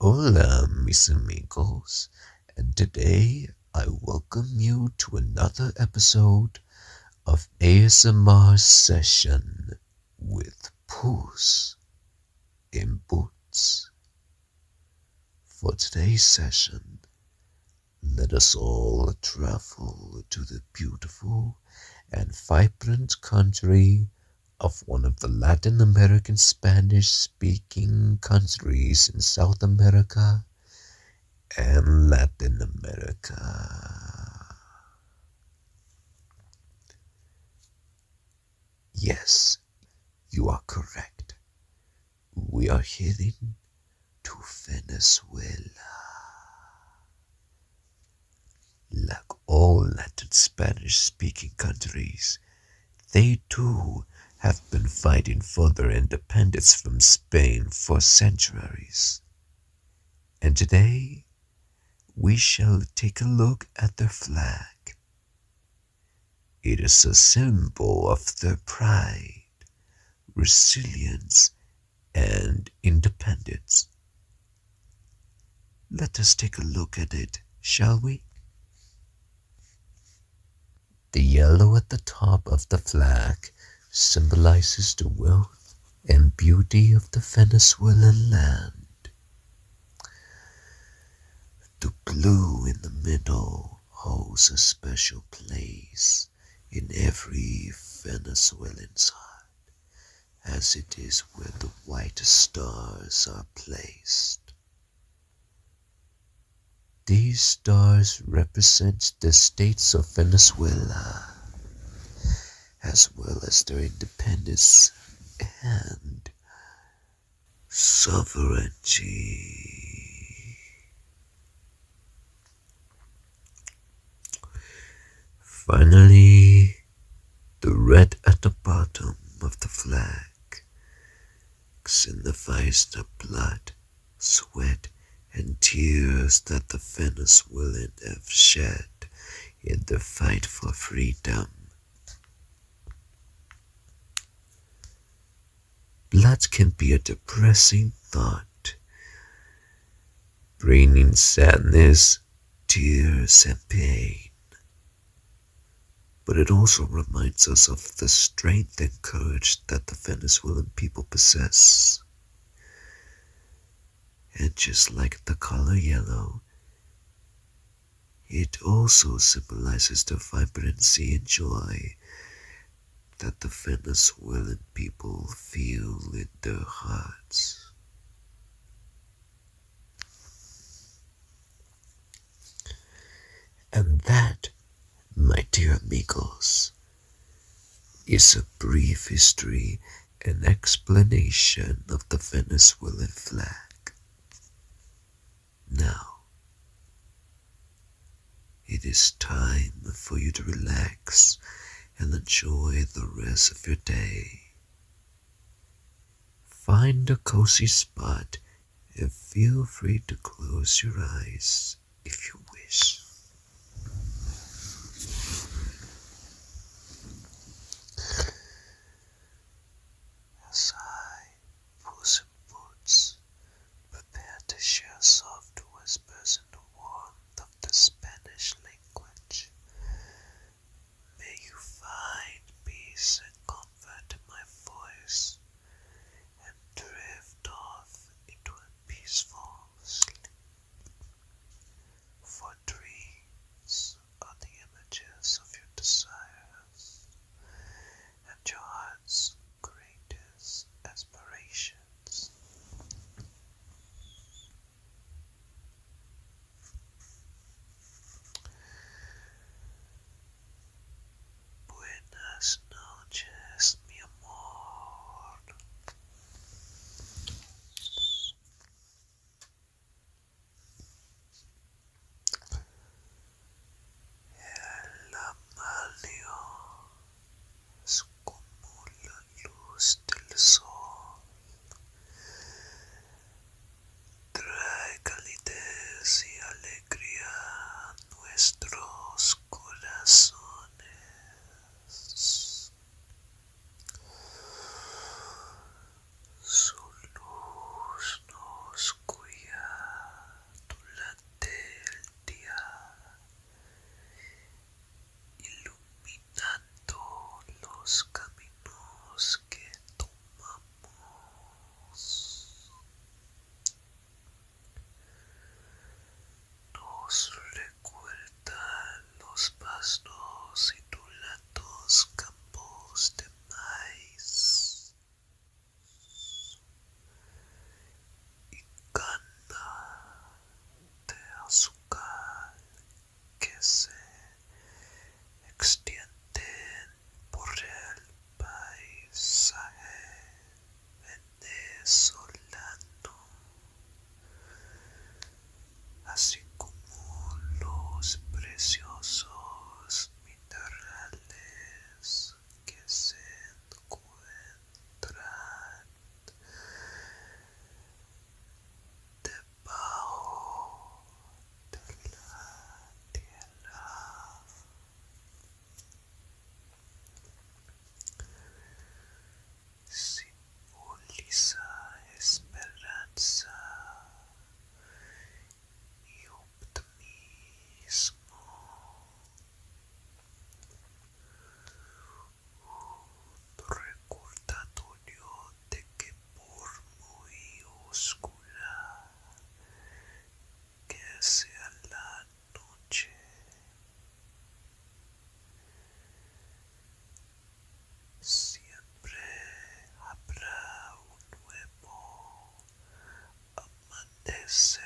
Hola mis amigos and today I welcome you to another episode of ASMR session with Puss in Boots. For today's session let us all travel to the beautiful and vibrant country of one of the Latin American Spanish speaking countries in South America and Latin America. Yes, you are correct. We are heading to Venezuela. Like all Latin Spanish speaking countries, they too have been fighting for their independence from Spain for centuries. And today we shall take a look at their flag. It is a symbol of their pride, resilience, and independence. Let us take a look at it, shall we? The yellow at the top of the flag symbolizes the wealth and beauty of the Venezuelan land. The blue in the middle holds a special place in every Venezuelan's heart as it is where the white stars are placed. These stars represent the states of Venezuela as well as their independence and sovereignty. Finally, the red at the bottom of the flag in the face blood, sweat, and tears that the Venezuelans have shed in the fight for freedom. Blood can be a depressing thought, bringing sadness tears, and pain. But it also reminds us of the strength and courage that the Venezuelan people possess. And just like the color yellow, it also symbolizes the vibrancy and joy that the Venezuelan people feel in their hearts. And that, my dear amigos, is a brief history and explanation of the Venezuelan flag. Now, it is time for you to relax and enjoy the rest of your day. Find a cozy spot and feel free to close your eyes if you wish. As I, Puss in Boots, prepare to share soft whispers in the warmth of the Spanish language, May you find peace and comfort in my voice and drift off into a peaceful sleep. For dreams are the images of your desires and your heart's greatest aspirations. Buenas noches, mi amor. El amalio como acumula luz del sol trae calidez y alegría a nuestros corazones su luz nos cuida durante el día iluminando los caminos que tomamos. Nos recuerdan los pastos ondulados campos de maíz y cana de azúcar que se extienden por el paisaje venezolano, así como los preciosos minerales que se encuentran debajo de la tierra simboliza esperanza y optimismo recordatorio de que por muy oscura que sea la noche siempre habrá un nuevo amanecer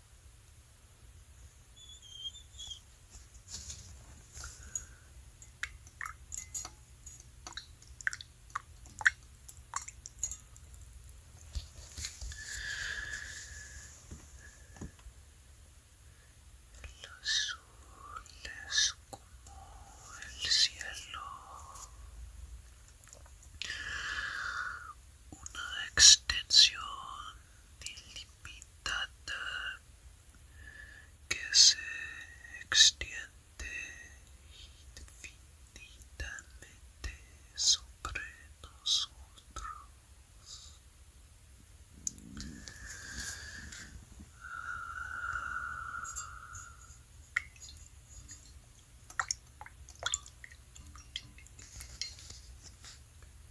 el azul es como el cielo, una extensión que se extiende infinitamente sobre nosotros.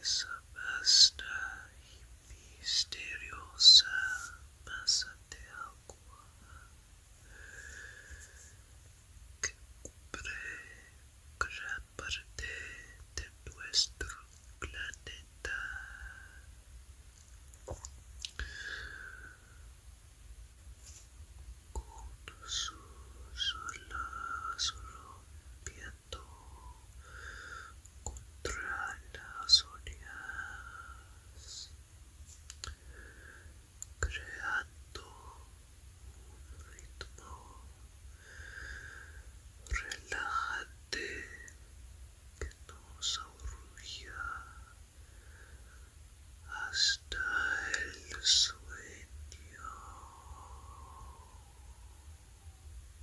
esa vasta y misteriosa masa de agua que cubre gran parte de nuestro planeta. Con sus contra las orejas, creando un ritmo relajante que nos arrulla hasta el sueño.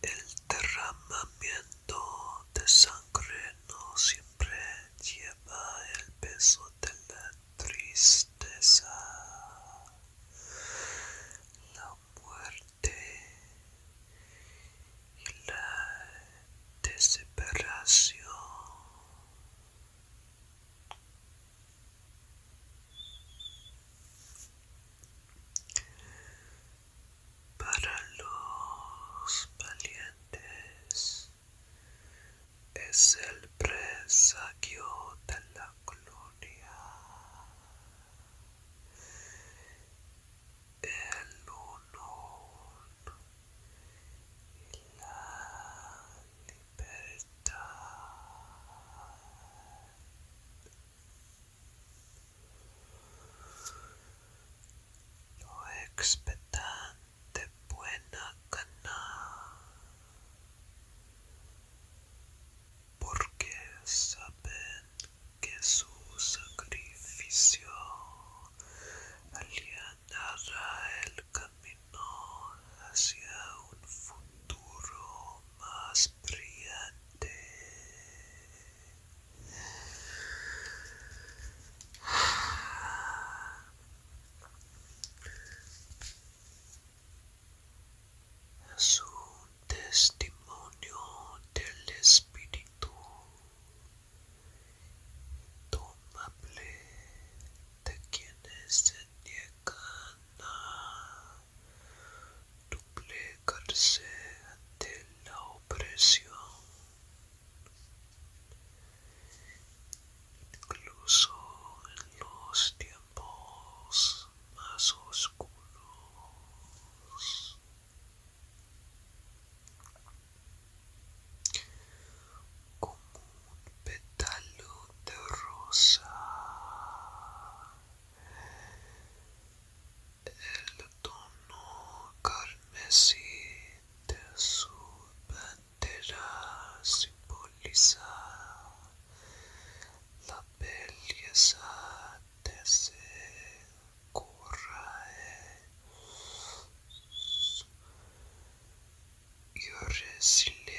El derramamiento de sangre no siempre lleva el peso de la tristeza. La muerte y la desesperación. Para los valientes es el presagio de la gloria, el honor y la no Lo expectante buena gana, porque saben que su sacrificio alienará el camino hacia un futuro más brillante. Es un testimonio del espíritu tomable de quienes se niegan duplicarse ante la opresión. Incluso en los tiempos más oscuros, como un pétalo de rosa. El tono carmesí de su bandera simboliza la belleza de ese coraje your silencio.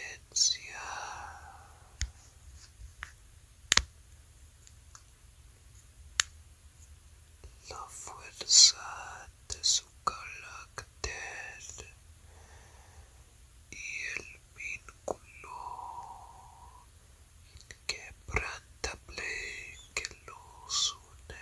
La fuerza de su carácter y el vínculo inquebrantable que los une.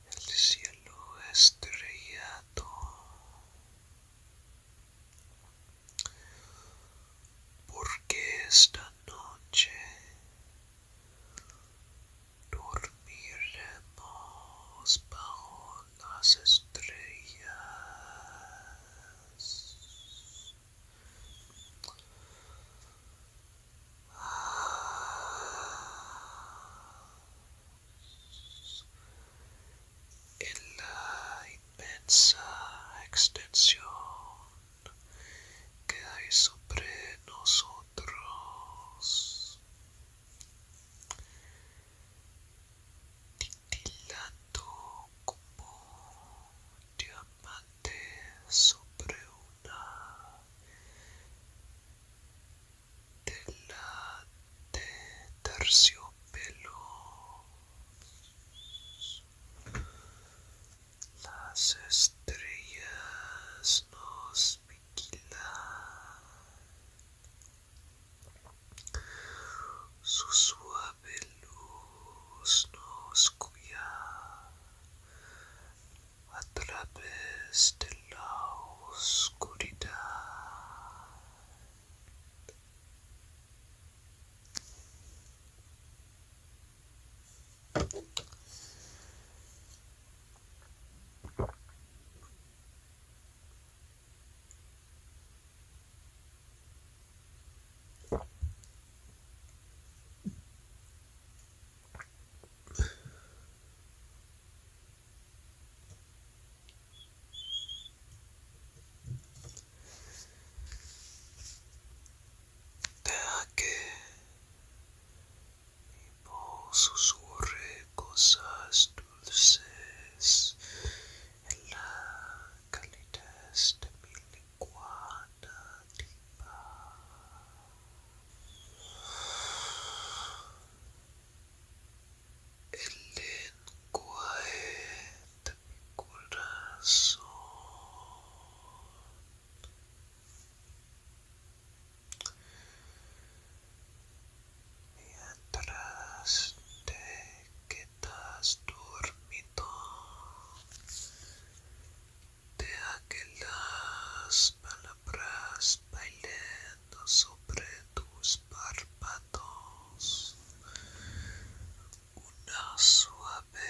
el cielo estrellado porque esta noche dormiremos bajo las estrellas ah en la inmensa extensión que hay sobre nosotros, titilando como diamante sobre una de la de terciopelo las estrellas nos vigilan su suave luz nos cuida a través de la oscuridad. Deja que mi voz susurre cosas dulces en la calidez de mi lengua nativa. el lenguaje de mi corazón. Mientras te quedas dormido, te aquelas palabras bailando sobre tus párpados una suave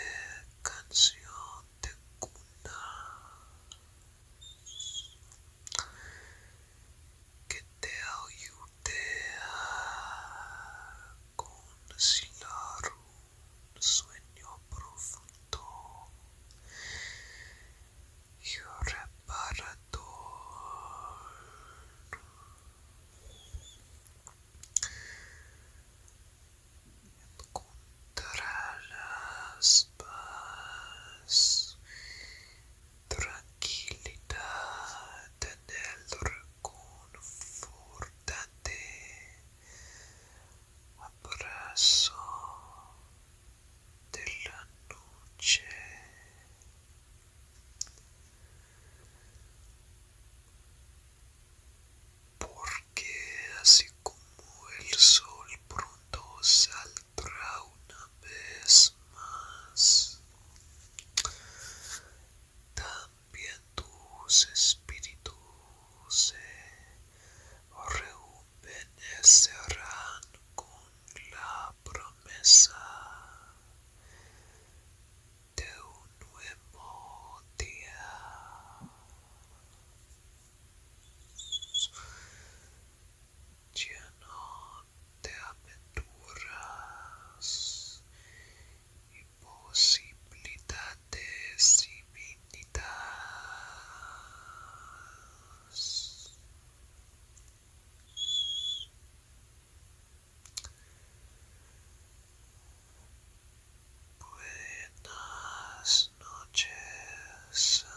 canción de cuna que te ayude a conciliar un sueño profundo your reparador. Encontrarás paz, tranquilidad en el reconfortante abrazo de la noche porque así como el sol pronto saldrá una vez más también tus espíritus se obedecerán con la promesa de un nuevo día. Lleno de aventuras y posibilidades y Buenas noches, amigos.